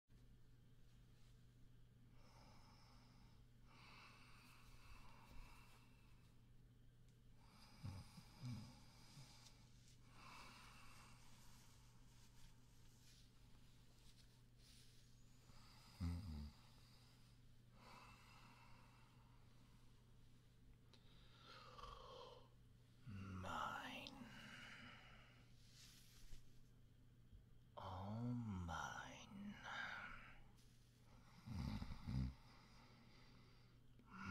Mine all mine.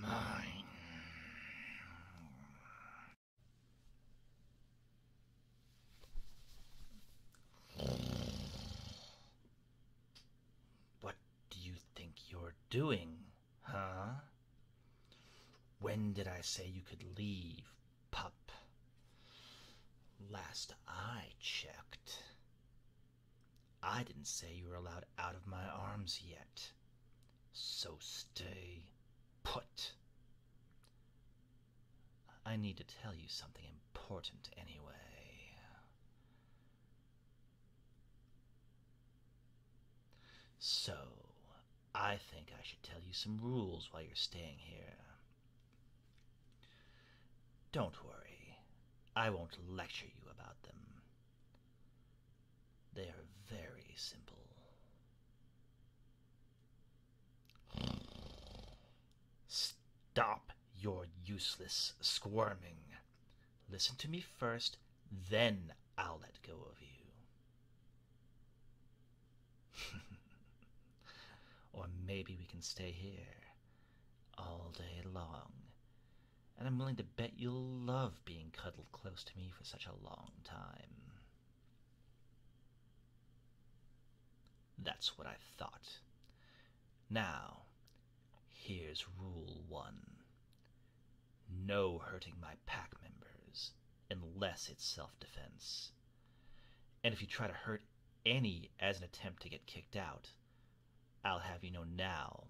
Mine. What do you think you're doing, huh? When did I say you could leave, pup? Last I checked. I didn't say you were allowed out of my arms yet. So stay put. I need to tell you something important anyway. So, I think I should tell you some rules while you're staying here. Don't worry, I won't lecture you about them. They are very simple. Stop your useless squirming. Listen to me first, then I'll let go of you. or maybe we can stay here all day long. And I'm willing to bet you'll love being cuddled close to me for such a long time. That's what I thought. Now, here's rule one. No hurting my pack members, unless it's self defense. And if you try to hurt any as an attempt to get kicked out, I'll have you know now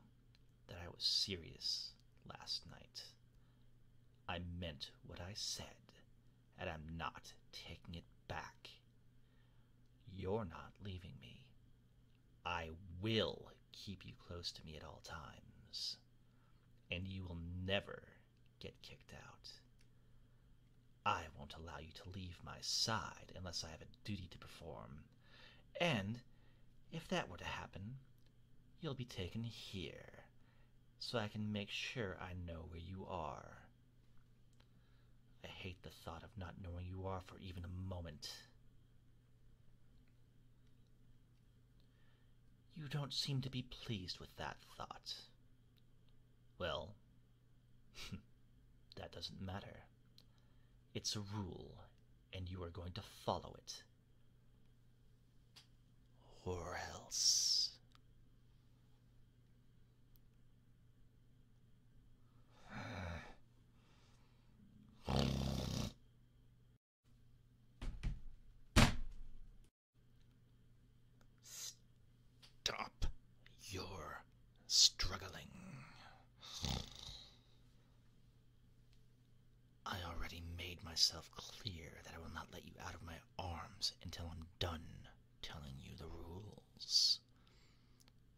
that I was serious last night. I meant what I said, and I'm not taking it back. You're not leaving me. I will keep you close to me at all times and you will never get kicked out. I won't allow you to leave my side unless I have a duty to perform. And if that were to happen, you'll be taken here, so I can make sure I know where you are. I hate the thought of not knowing you are for even a moment. You don't seem to be pleased with that thought. Well, that doesn't matter. It's a rule, and you are going to follow it. Or else. Stop You're struggling. I already made myself clear that I will not let you out of my arms until I'm done telling you the rules.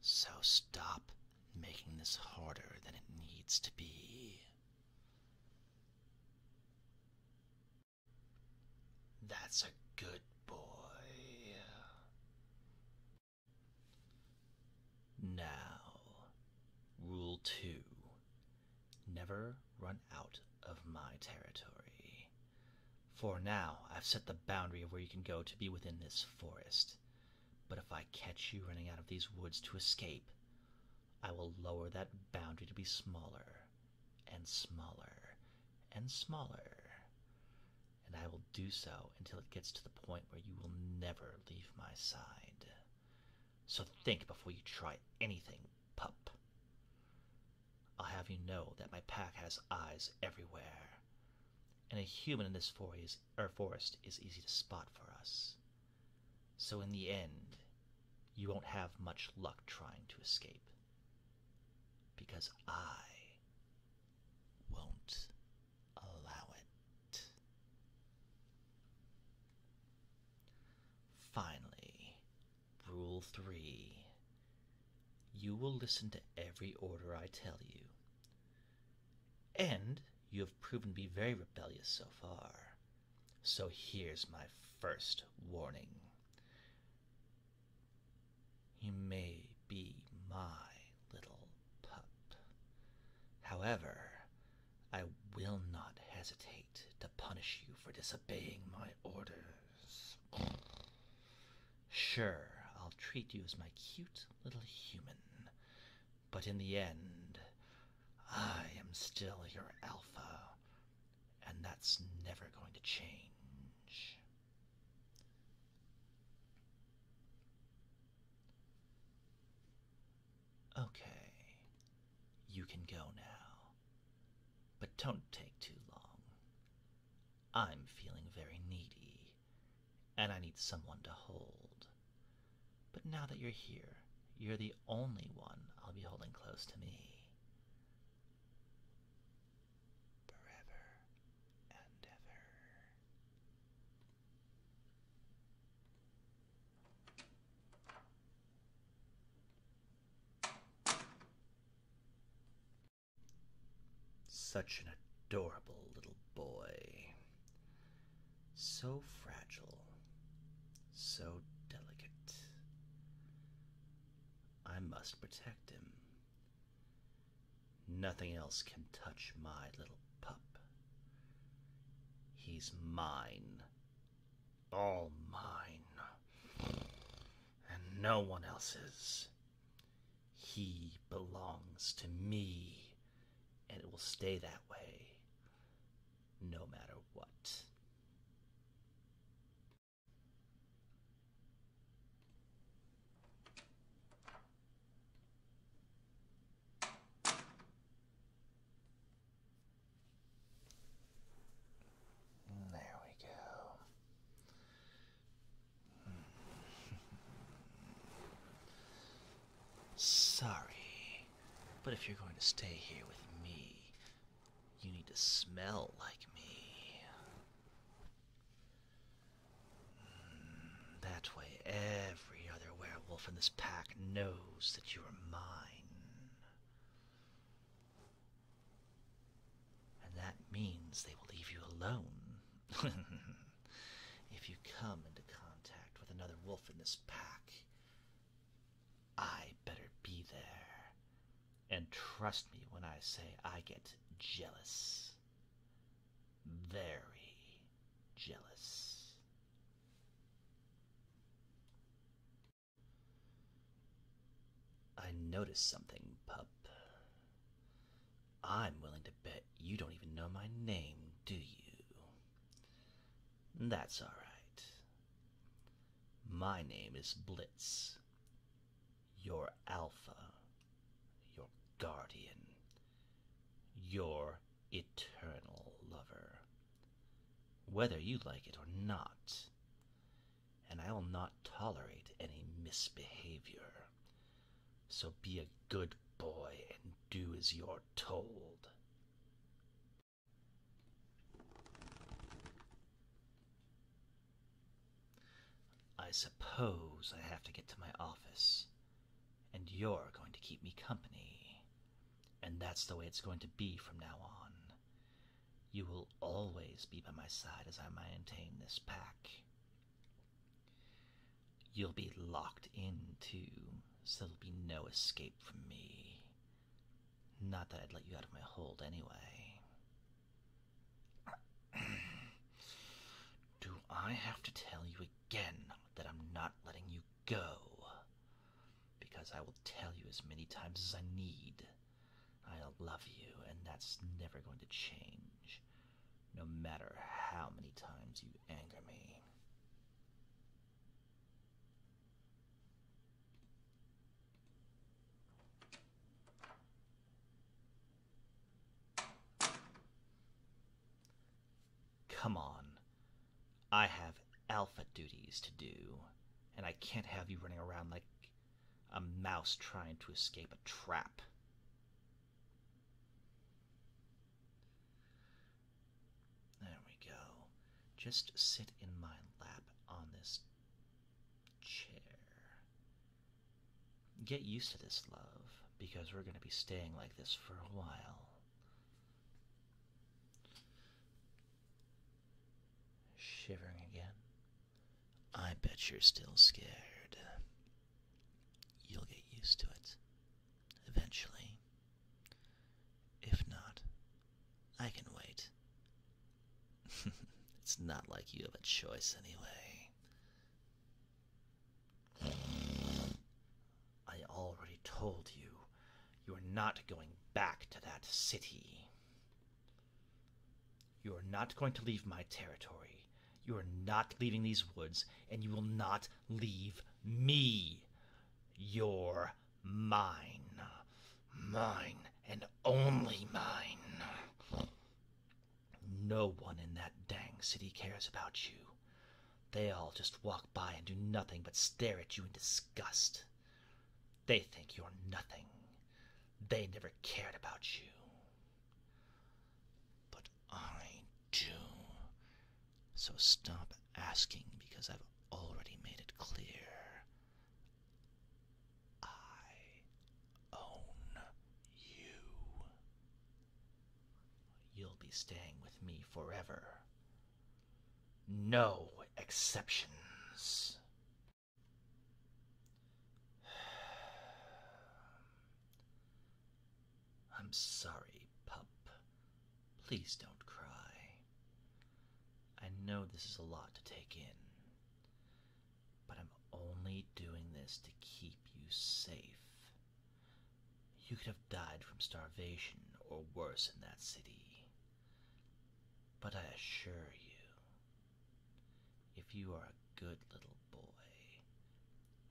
So stop making this harder than it needs to be. That's a good boy. Now, Rule 2 Never run out of my territory. For now, I've set the boundary of where you can go to be within this forest. But if I catch you running out of these woods to escape, I will lower that boundary to be smaller and smaller and smaller. And I will do so until it gets to the point where you will never leave my side. So think before you try anything, pup. I'll have you know that my pack has eyes everywhere, and a human in this foray our forest is easy to spot for us. So in the end, you won't have much luck trying to escape. Because I won't allow it. Finally, Rule 3. You will listen to every order I tell you. And you have proven to be very rebellious so far. So here's my first warning. You may be my little pup. However, I will not hesitate to punish you for disobeying my orders. Sure, I'll treat you as my cute little human, but in the end, I am still your alpha, and that's never going to change. Okay, you can go now, but don't take too long. I'm feeling very needy and I need someone to hold. But now that you're here, you're the only one I'll be holding close to me. Forever and ever. Such an adorable little boy. So fragile. So delicate. I must protect him. Nothing else can touch my little pup. He's mine. All mine. And no one else's. He belongs to me, and it will stay that way no matter what. There we go. Sorry, but if you're going to stay here with me, you need to smell like me. Hmm, that way, every other werewolf in this pack knows that you are mine. And that means they will leave you alone. if you come into contact with another wolf in this pack, I better be there. And trust me when I say I get jealous. Very jealous. I noticed something, pup. I'm willing to bet you don't even know my name, do you? That's all right. My name is Blitz. Your Alpha. Your Guardian. Your Eternal Lover. Whether you like it or not, and I'll not tolerate any misbehavior. So be a good boy and do as you're told. I suppose I have to get to my office, and you're going to keep me company. And that's the way it's going to be from now on. You will always be by my side as I maintain this pack. You'll be locked in, too, so there'll be no escape from me. Not that I'd let you out of my hold anyway. Do I have to tell you again that I'm not letting you go? Because I will tell you as many times as I need I love you, and that's never going to change, no matter how many times you anger me. Come on. I have alpha duties to do, and I can't have you running around like a mouse trying to escape a trap. There we go. Just sit in my lap on this chair. Get used to this, love, because we're going to be staying like this for a while shivering again. I bet you're still scared. You'll get used to it. Eventually. If not, I can wait. it's not like you have a choice anyway. I already told you, you're not going back to that city. You are not going to leave my territory. You are not leaving these woods, and you will not leave me. You're mine. Mine, and only mine. No one in that dang city cares about you. They all just walk by and do nothing but stare at you in disgust. They think you're nothing. They never cared about you. But I do. So stop asking because I've already made it clear. I own you. You'll be staying with me forever. No exceptions. I'm sorry, pup. Please don't cry. I know this is a lot to take in, but I'm only doing this to keep you safe. You could have died from starvation or worse in that city. But I assure you, if you are a good little boy,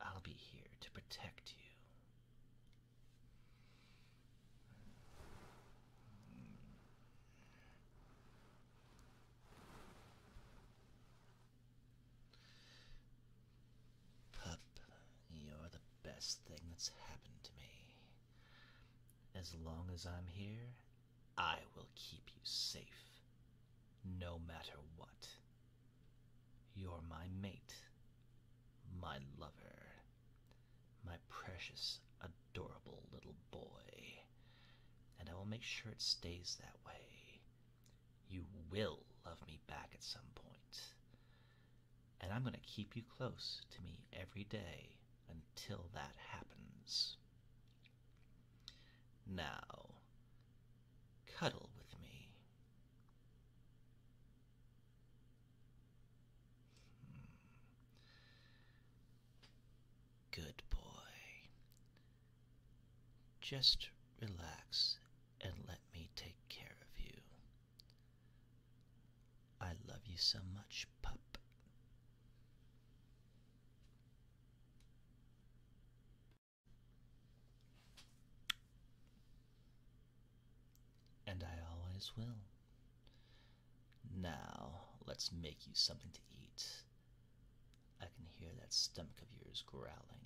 I'll be here to protect you. Pup you're the best thing that's happened to me. As long as I'm here, I will keep you safe. No matter what. You're my mate. My lover. My precious, adorable little boy. And I will make sure it stays that way. You will love me back at some point. And I'm going to keep you close to me every day until that happens. Now, cuddle with me. Hmm. Good boy. Just relax and let me take care of you. I love you so much, pup. And I always will. Now, let's make you something to eat. I can hear that stomach of yours growling.